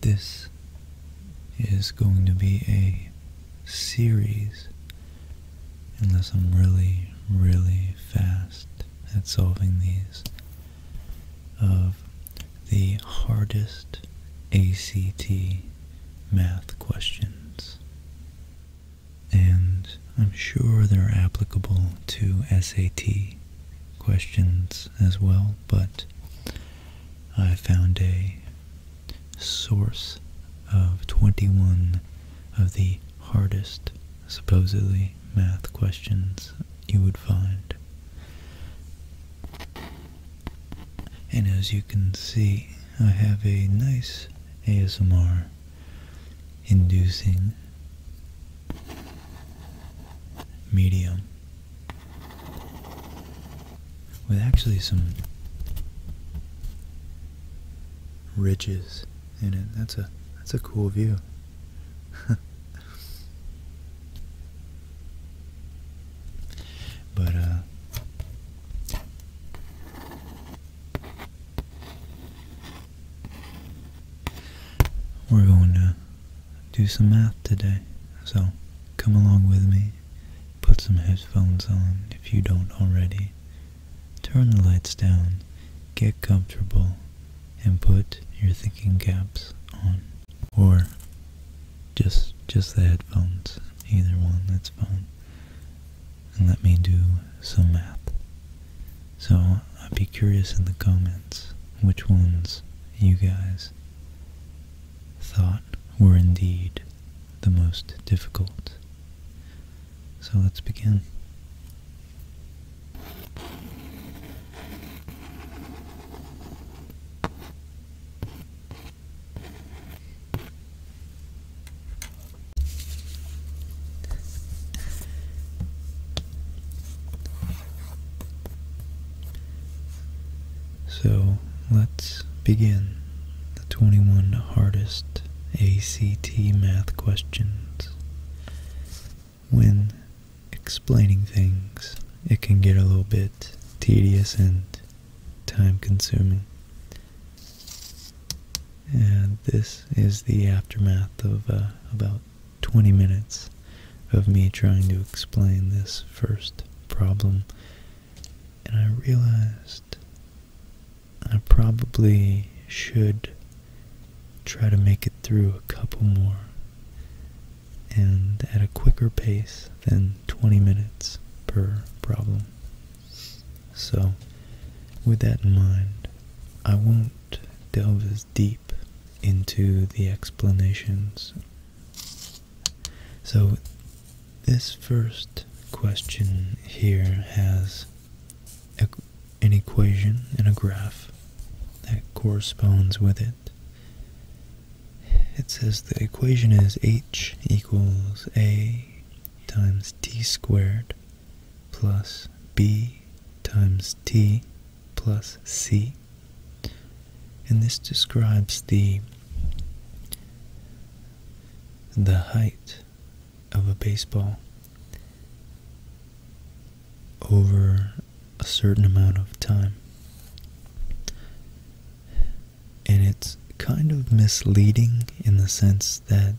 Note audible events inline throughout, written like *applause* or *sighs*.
This is going to be a series unless I'm really, really fast at solving these of the hardest ACT math questions. And I'm sure they're applicable to SAT questions as well, but I found a source of 21 of the hardest, supposedly, math questions you would find. And as you can see, I have a nice ASMR inducing medium with actually some ridges in it. That's a that's a cool view. *laughs* but uh we're going to do some math today. So come along with me. Put some headphones on if you don't already. Turn the lights down, get comfortable, and put your thinking caps on. Or just just the headphones. Either one, that's fine. And let me do some math. So I'd be curious in the comments which ones you guys thought were indeed the most difficult. So let's begin. So let's begin the 21 hardest ACT math questions. When explaining things, it can get a little bit tedious and time consuming. And this is the aftermath of uh, about 20 minutes of me trying to explain this first problem. And I realized I probably should try to make it through a couple more and at a quicker pace than 20 minutes per problem. So, with that in mind, I won't delve as deep into the explanations. So, this first question here has an equation and a graph that corresponds with it. It says the equation is h equals a times t squared plus b times t plus c. And this describes the the height of a baseball over a certain amount of time. And it's kind of misleading in the sense that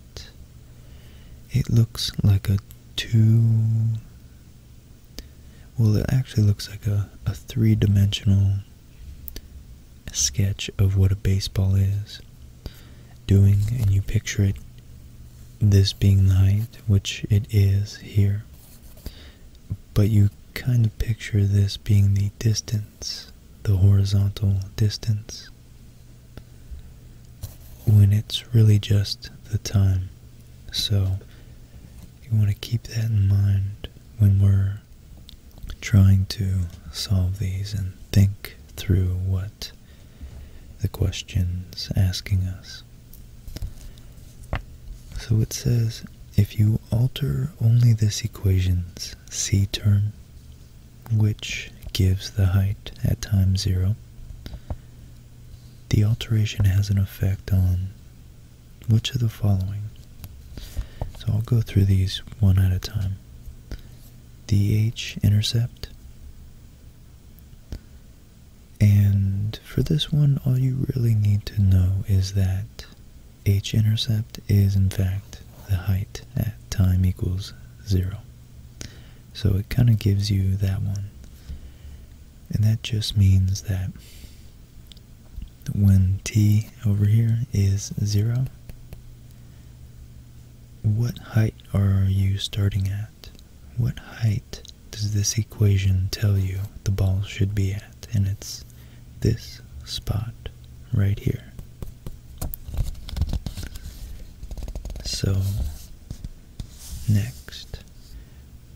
it looks like a two. Well, it actually looks like a, three dimensional sketch of what a baseball is doing, and you picture it this being the height, which it is here. But you kind of picture this being the distance, the horizontal distance, when it's really just the time. So you want to keep that in mind when we're trying to solve these and think through what the question's asking us. So it says, if you alter only this equation's c term, which gives the height at time zero, the alteration has an effect on which of the following? So I'll go through these one at a time. The h intercept. And for this one, all you really need to know is that H intercept is in fact the height at time equals zero. So it kind of gives you that one. And that just means that when t over here is 0, what height are you starting at? What height does this equation tell you the ball should be at? And it's this spot right here. So, next.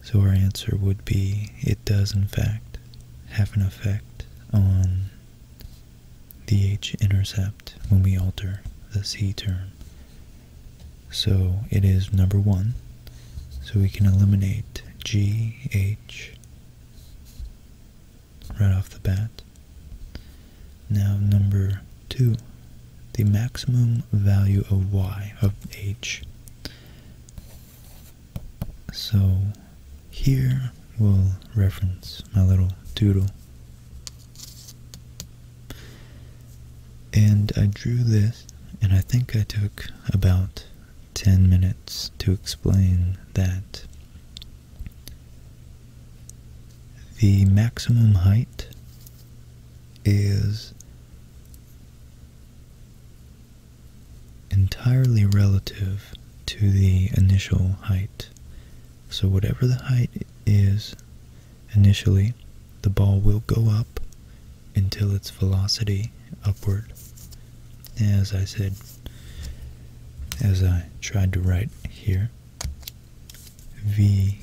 So our answer would be it does in fact have an effect on the h-intercept when we alter the c-term. So it is number 1. So we can eliminate gh right off the bat. Now number 2. The maximum value of y of h. So here we'll reference my little doodle. And I drew this, and I think I took about 10 minutes to explain that the maximum height is entirely relative to the initial height so whatever the height is initially, the ball will go up until its velocity upward. As I said, as I tried to write here, v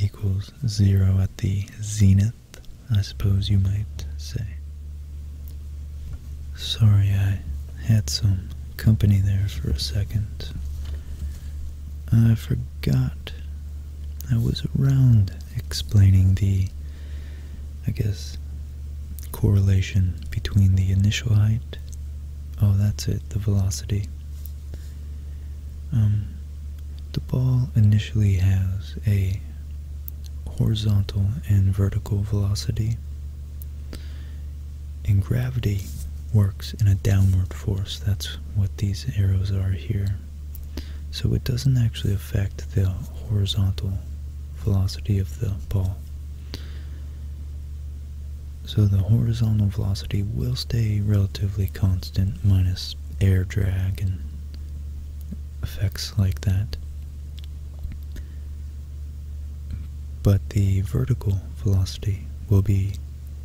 equals zero at the zenith, I suppose you might say. Sorry, I had some company there for a second. I forgot I was around explaining the, I guess, correlation between the initial height. Oh, that's it, the velocity. Um, the ball initially has a horizontal and vertical velocity. And gravity works in a downward force. That's what these arrows are here. So it doesn't actually affect the horizontal velocity of the ball. So the horizontal velocity will stay relatively constant minus air drag and effects like that but the vertical velocity will be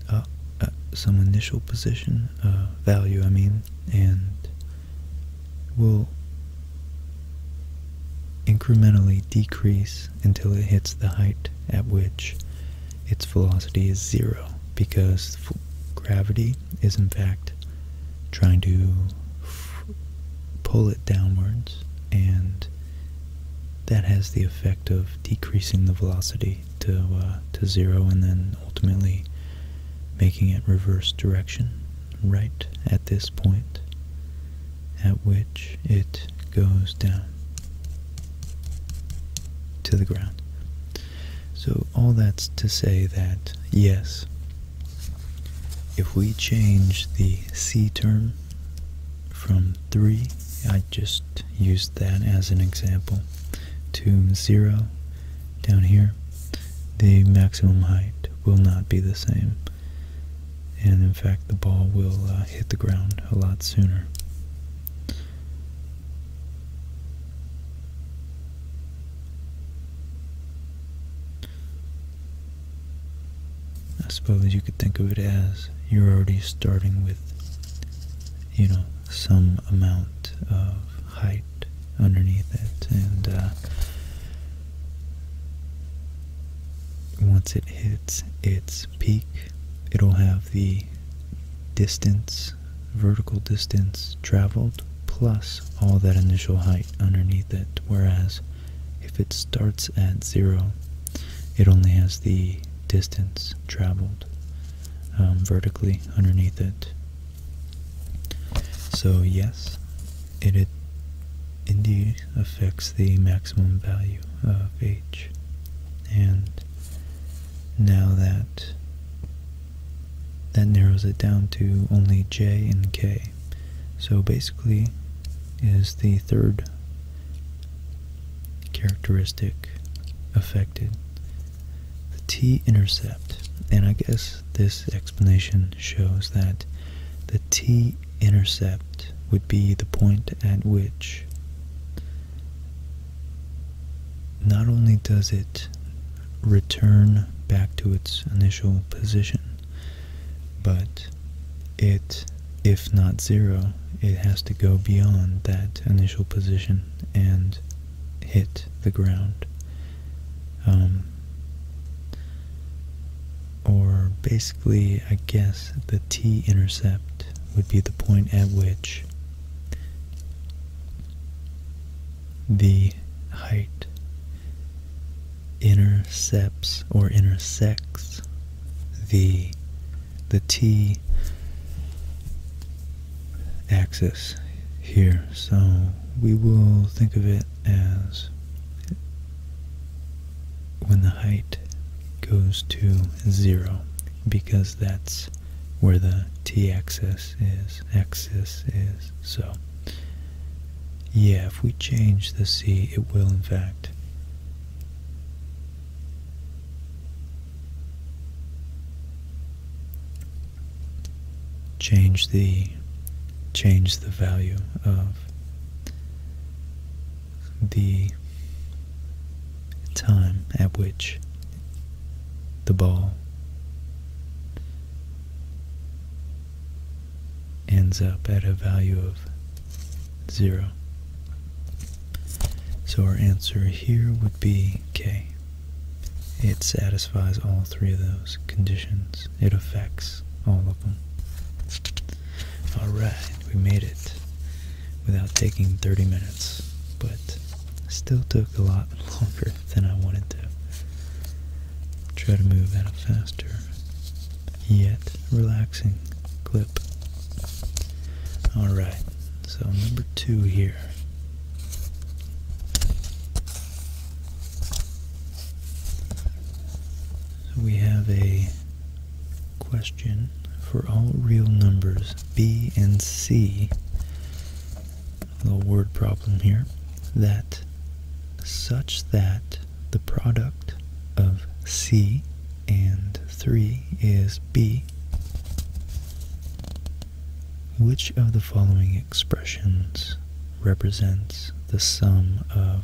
uh, uh some initial position uh, value, I mean, and will incrementally decrease until it hits the height at which its velocity is zero because gravity is in fact trying to pull it downwards and that has the effect of decreasing the velocity to, uh, to zero and then ultimately making it reverse direction right at this point at which it goes down to the ground. So all that's to say that, yes, if we change the C term from 3, I just used that as an example, to 0 down here, the maximum height will not be the same. And in fact, the ball will uh, hit the ground a lot sooner. I suppose you could think of it as you're already starting with, you know, some amount of height underneath it, and uh, once it hits its peak, it'll have the distance, vertical distance traveled, plus all that initial height underneath it, whereas if it starts at zero, it only has the distance traveled um, vertically underneath it. So yes, it, it indeed affects the maximum value of h. And now that that narrows it down to only j and k. So basically is the third characteristic affected the t-intercept and i guess this explanation shows that the t-intercept would be the point at which not only does it return back to its initial position but it, if not zero, it has to go beyond that initial position and hit the ground. Um, or basically, I guess the t intercept would be the point at which the height intercepts or intersects the the T axis here. So we will think of it as when the height goes to zero because that's where the t-axis is, axis is, so yeah, if we change the c, it will in fact change the change the value of the time at which the ball ends up at a value of 0. So our answer here would be K. It satisfies all three of those conditions. It affects all of them. Alright, we made it without taking 30 minutes, but still took a lot *laughs* longer than I wanted to. try to move at a faster yet relaxing clip. Alright, so number two here. So we have a question for all real numbers b and c. A little word problem here. That such that the product of c and 3 is B. Which of the following expressions represents the sum of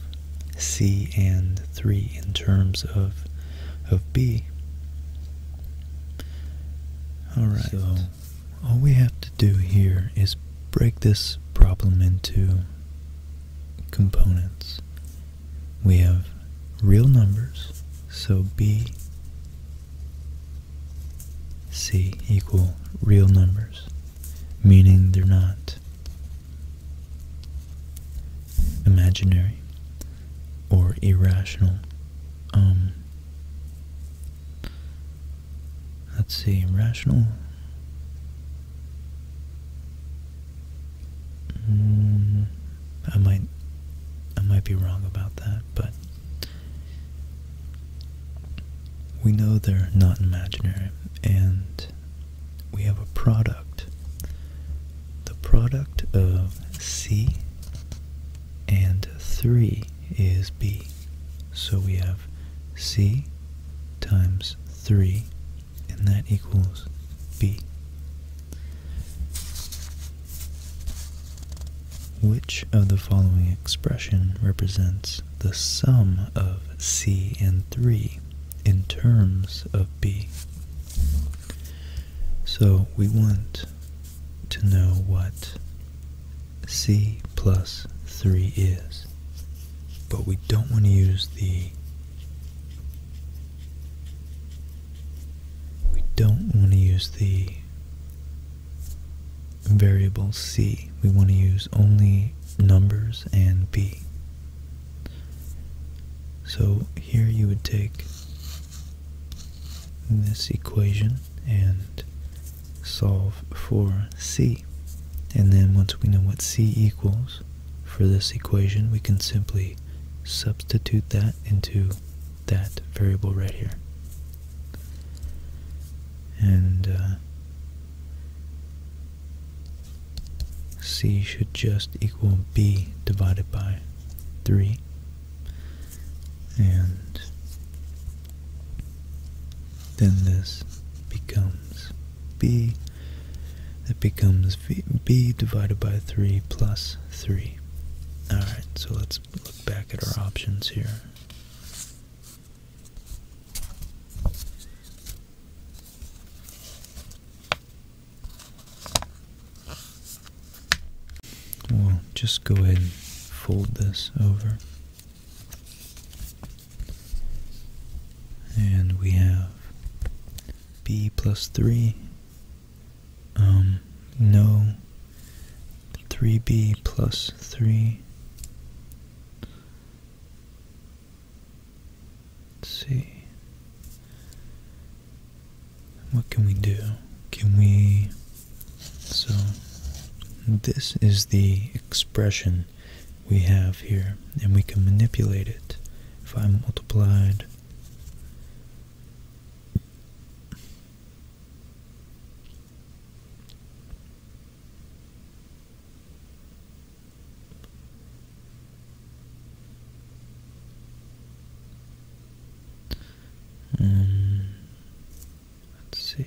C and 3 in terms of, of B? Alright, so all we have to do here is break this problem into components we have real numbers, so B, C equal real numbers, meaning they're not imaginary or irrational. Um, let's see, rational Mm, I might, I might be wrong about that, but we know they're not imaginary, and we have a product, the product of C and 3 is B. So we have C times 3 and that equals B. Which of the following expression represents the sum of C and 3 in terms of B? So we want to know what C plus 3 is, but we don't want to use the we don't want to use the variable c. We want to use only numbers and b. So here you would take this equation and solve for c. And then once we know what c equals, for this equation, we can simply substitute that into that variable right here. And uh, c should just equal b divided by 3. And then this becomes b, that becomes B divided by 3 plus 3. Alright, so let's look back at our options here. We'll just go ahead and fold this over. And we have b plus 3 um, no 3b plus 3 let's see what can we do can we so this is the expression we have here and we can manipulate it if I multiplied um, let's see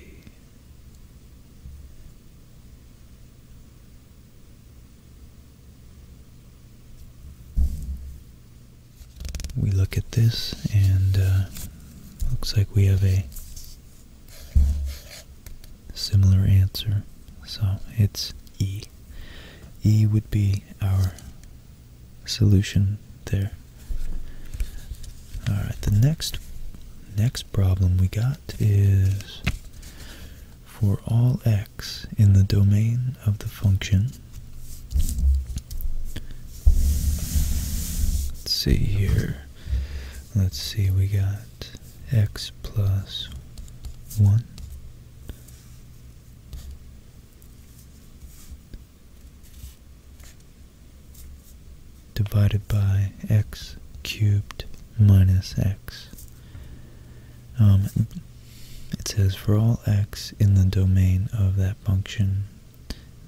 we look at this and uh, looks like we have a similar answer so it's E E would be our solution there all right the next next problem we got is for all x in the domain of the function. Let's see here. Let's see, we got x plus 1 divided by x cubed minus x um, it says, for all x in the domain of that function,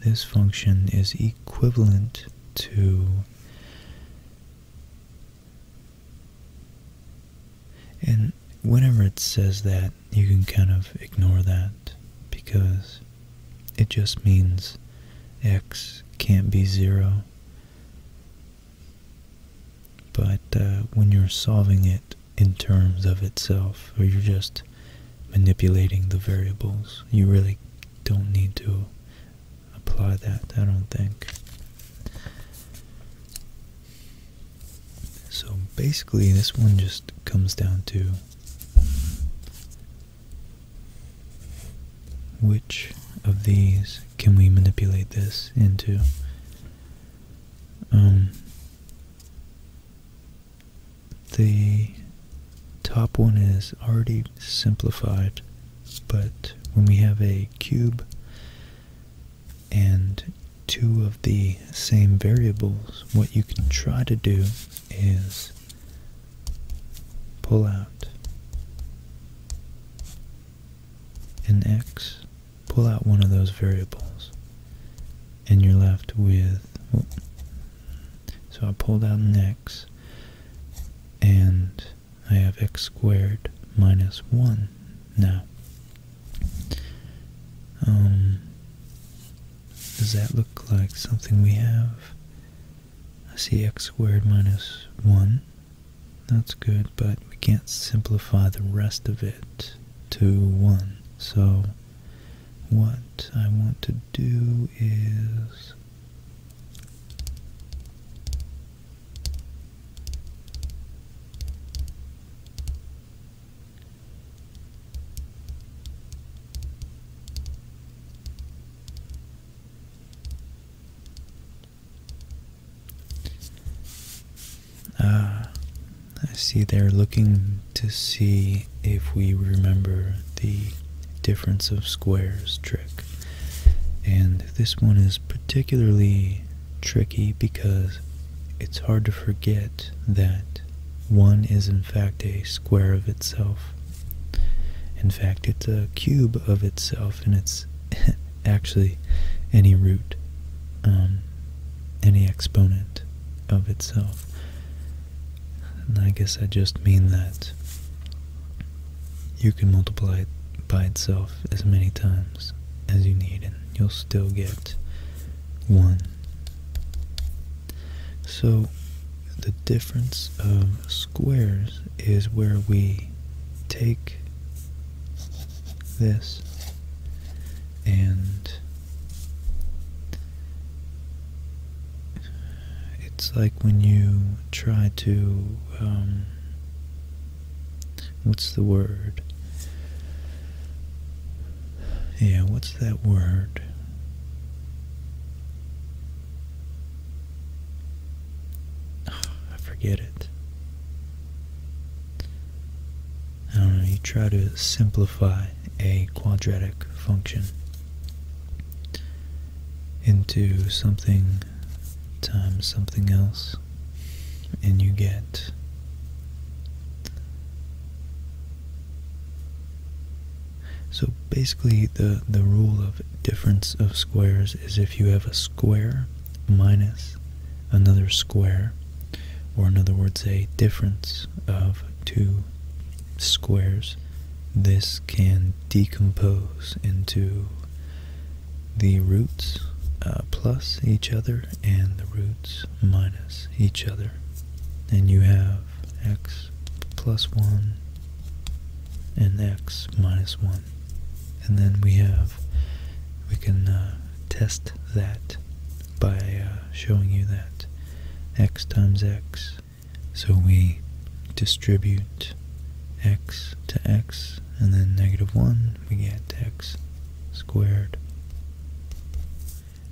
this function is equivalent to and whenever it says that you can kind of ignore that because it just means x can't be zero but uh, when you're solving it in terms of itself, or you're just manipulating the variables, you really don't need to apply that, I don't think. So basically, this one just comes down to which of these can we manipulate this into? Um, the top one is already simplified, but when we have a cube and two of the same variables, what you can try to do is pull out an x pull out one of those variables and you're left with so I pulled out an x and I have x squared minus 1 now um, does that look like something we have I see x squared minus 1 that's good but we can't simplify the rest of it to 1. So what I want to do is uh, I see they're looking to see if we remember the difference of squares trick. And this one is particularly tricky because it's hard to forget that 1 is in fact a square of itself. In fact, it's a cube of itself, and it's *laughs* actually any root. Um, any exponent of itself. And I guess I just mean that you can multiply it by itself as many times as you need and you'll still get 1. So the difference of squares is where we take this and it's like when you try to um, what's the word yeah what's that word *sighs* I forget it um, you try to simplify a quadratic function into something times something else, and you get So basically the, the rule of difference of squares is if you have a square minus another square or in other words a difference of two squares, this can decompose into the roots uh, plus each other and the roots minus each other. And you have x plus 1 and x minus 1. And then we have, we can uh, test that by uh, showing you that x times x. So we distribute x to x, and then negative 1, we get x squared.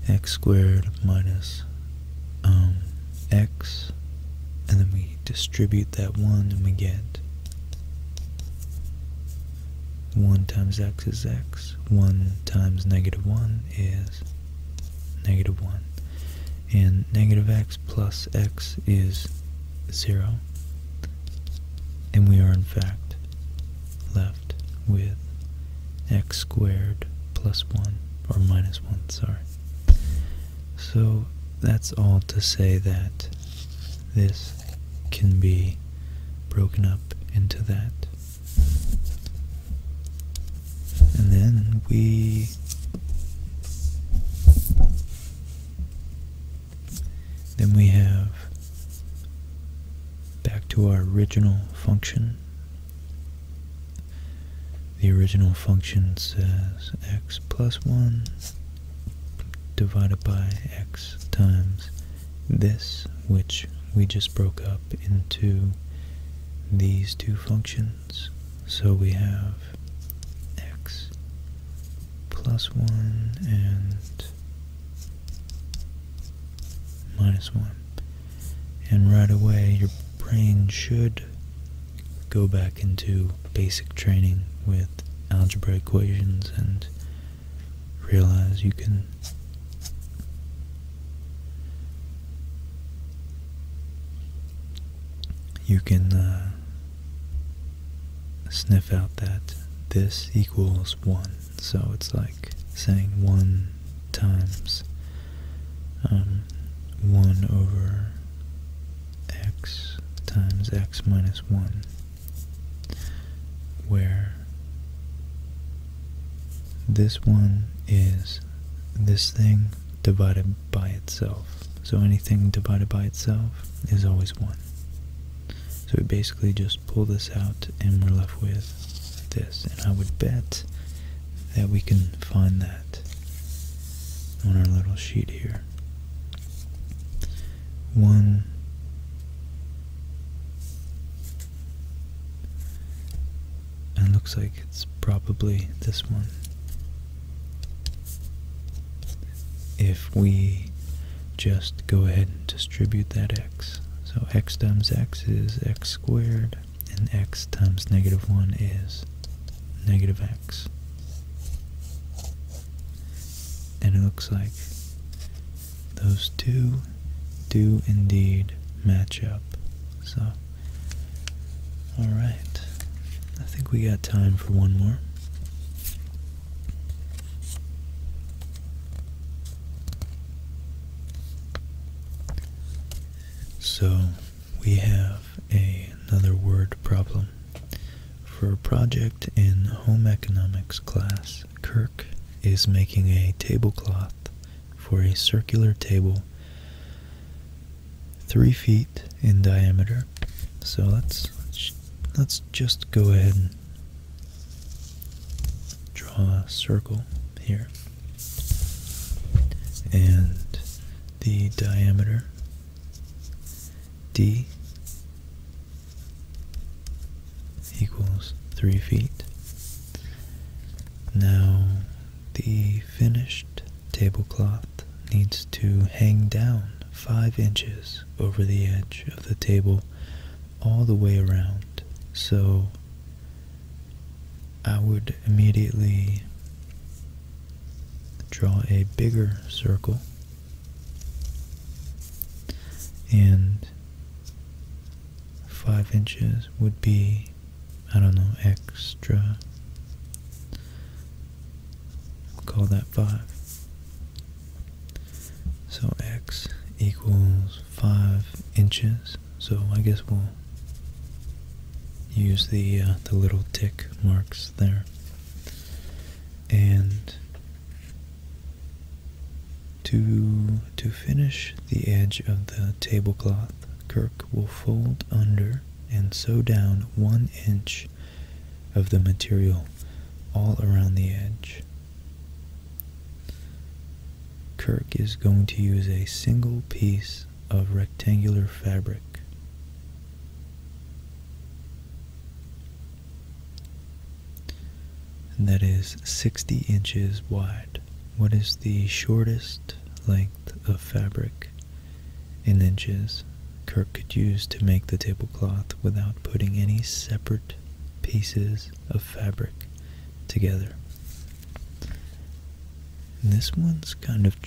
x squared minus um, x, and then we distribute that 1, and we get 1 times x is x, 1 times negative 1 is negative 1, and negative x plus x is 0, and we are in fact left with x squared plus 1, or minus 1, sorry. So that's all to say that this can be broken up into that. And then we then we have back to our original function. The original function says x plus 1 divided by x times this, which we just broke up into these two functions. So we have x plus 1 and minus 1. And right away, your brain should go back into basic training with algebra equations and realize you can you can uh, sniff out that this equals 1 so it's like saying 1 times um, 1 over x times x minus 1 where this one is this thing divided by itself. So anything divided by itself is always 1. So we basically just pull this out and we're left with this. And I would bet that we can find that on our little sheet here. 1 and looks like it's probably this one. If we just go ahead and distribute that x. So x times x is x squared, and x times negative 1 is negative x. And it looks like those two do indeed match up. So, alright. I think we got time for one more. So, we have another word problem. For a project in home economics class, Kirk is making a tablecloth for a circular table three feet in diameter. So let's let's just go ahead and draw a circle here. And the diameter D equals 3 feet. Now, the finished tablecloth needs to hang down 5 inches over the edge of the table all the way around. So, I would immediately draw a bigger circle and 5 inches would be, I don't know, extra. We'll call that 5. So x equals 5 inches. So I guess we'll use the, uh, the little tick marks there. And to, to finish the edge of the tablecloth, Kirk will fold under and sew down one inch of the material all around the edge. Kirk is going to use a single piece of rectangular fabric that is 60 inches wide. What is the shortest length of fabric in inches Kirk could use to make the tablecloth without putting any separate pieces of fabric together? this one's kind of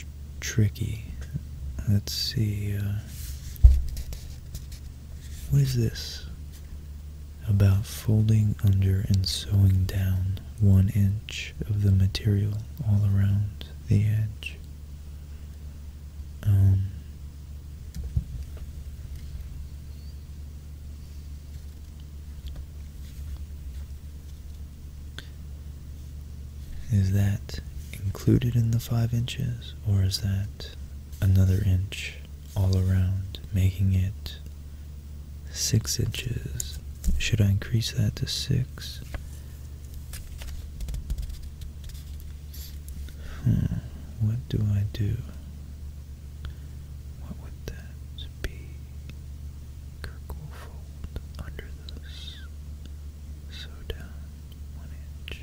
tricky. Let's see. Uh, what is this? about folding under and sewing down one inch of the material all around the edge. Um, is that included in the five inches or is that another inch all around making it six inches. Should I increase that to six? Hmm, what do I do? What would that be? Kirkle under this. So down one inch.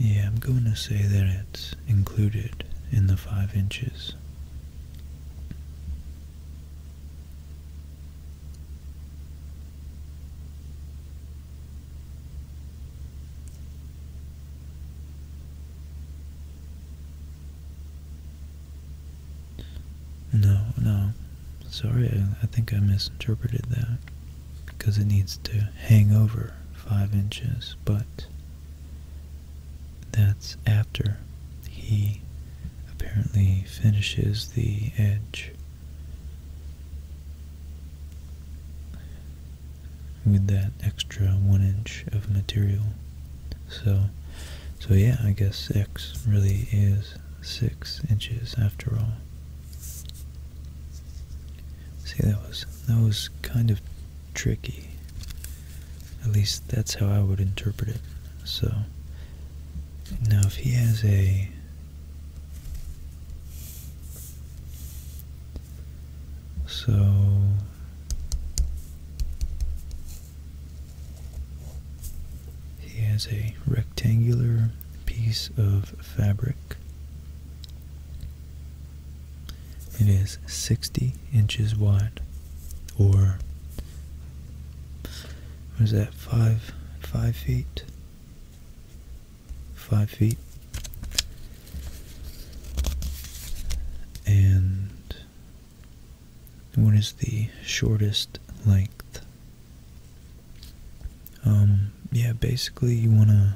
Yeah, I'm going to say that it's included in the 5 inches. No, no. Sorry, I, think I misinterpreted that. Because it needs to hang over 5 inches, but that's after he apparently finishes the edge with that extra one inch of material so so yeah I guess X really is six inches after all see that was that was kind of tricky at least that's how I would interpret it so now if he has a so he has a rectangular piece of fabric. It is 60 inches wide, or what is that, five, five feet? five feet, and what is the shortest length? Um, yeah, basically, you want to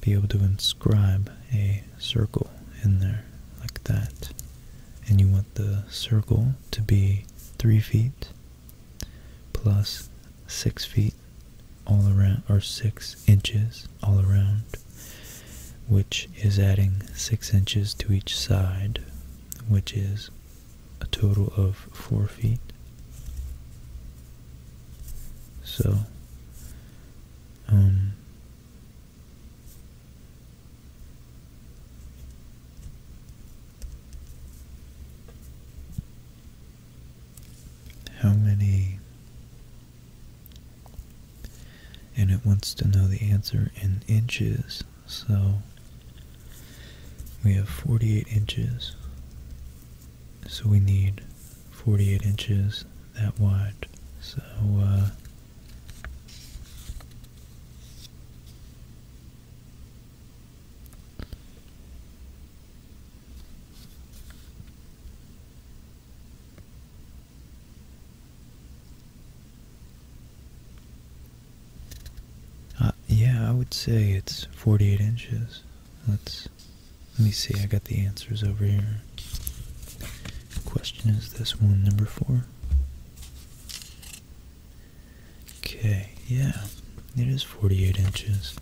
be able to inscribe a circle in there like that, and you want the circle to be three feet plus six feet all around or six inches all around which is adding six inches to each side which is a total of four feet so um how many? And it wants to know the answer in inches, so we have 48 inches. So we need 48 inches that wide. So, uh, uh, yeah, I would say it's 48 inches. Let's let me see. I got the answers over here. Question is this one, number four. Okay, yeah, it is 48 inches.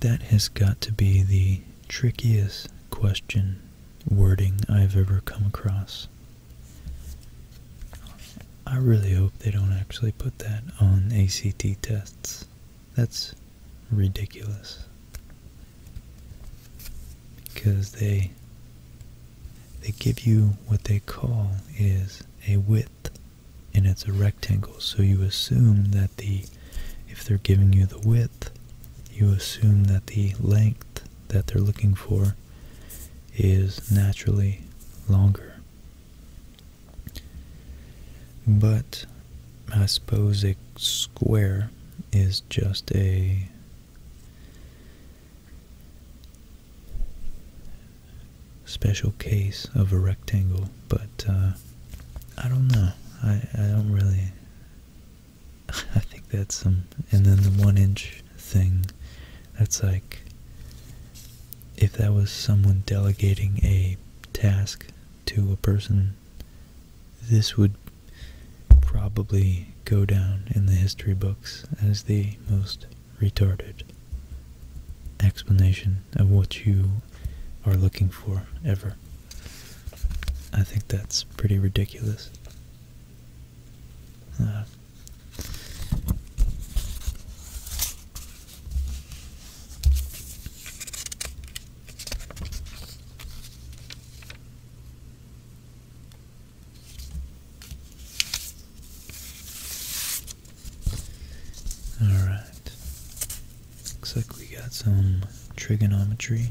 That has got to be the trickiest question wording I've ever come across. I really hope they don't actually put that on ACT tests. That's ridiculous. Because they they give you what they call is a width, and it's a rectangle. So you assume that the, if they're giving you the width, you assume that the length that they're looking for is naturally longer. But I suppose a square is just a special case of a rectangle, but uh, I don't know. I, I don't really. *laughs* I think that's some. And then the one inch thing, that's like. If that was someone delegating a task to a person, this would probably go down in the history books as the most retarded explanation of what you are looking for ever. I think that's pretty ridiculous. Uh, Alright. Looks like we got some trigonometry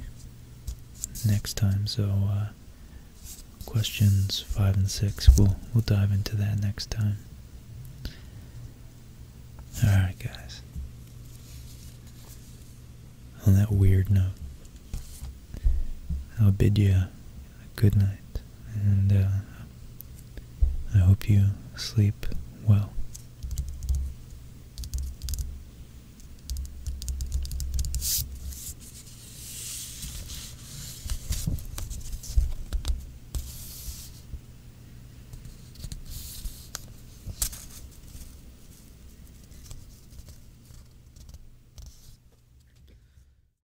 next time, so uh, questions 5 and 6, we'll, we'll dive into that next time. Alright guys, on that weird note, I'll bid you good night, and uh, I hope you sleep well.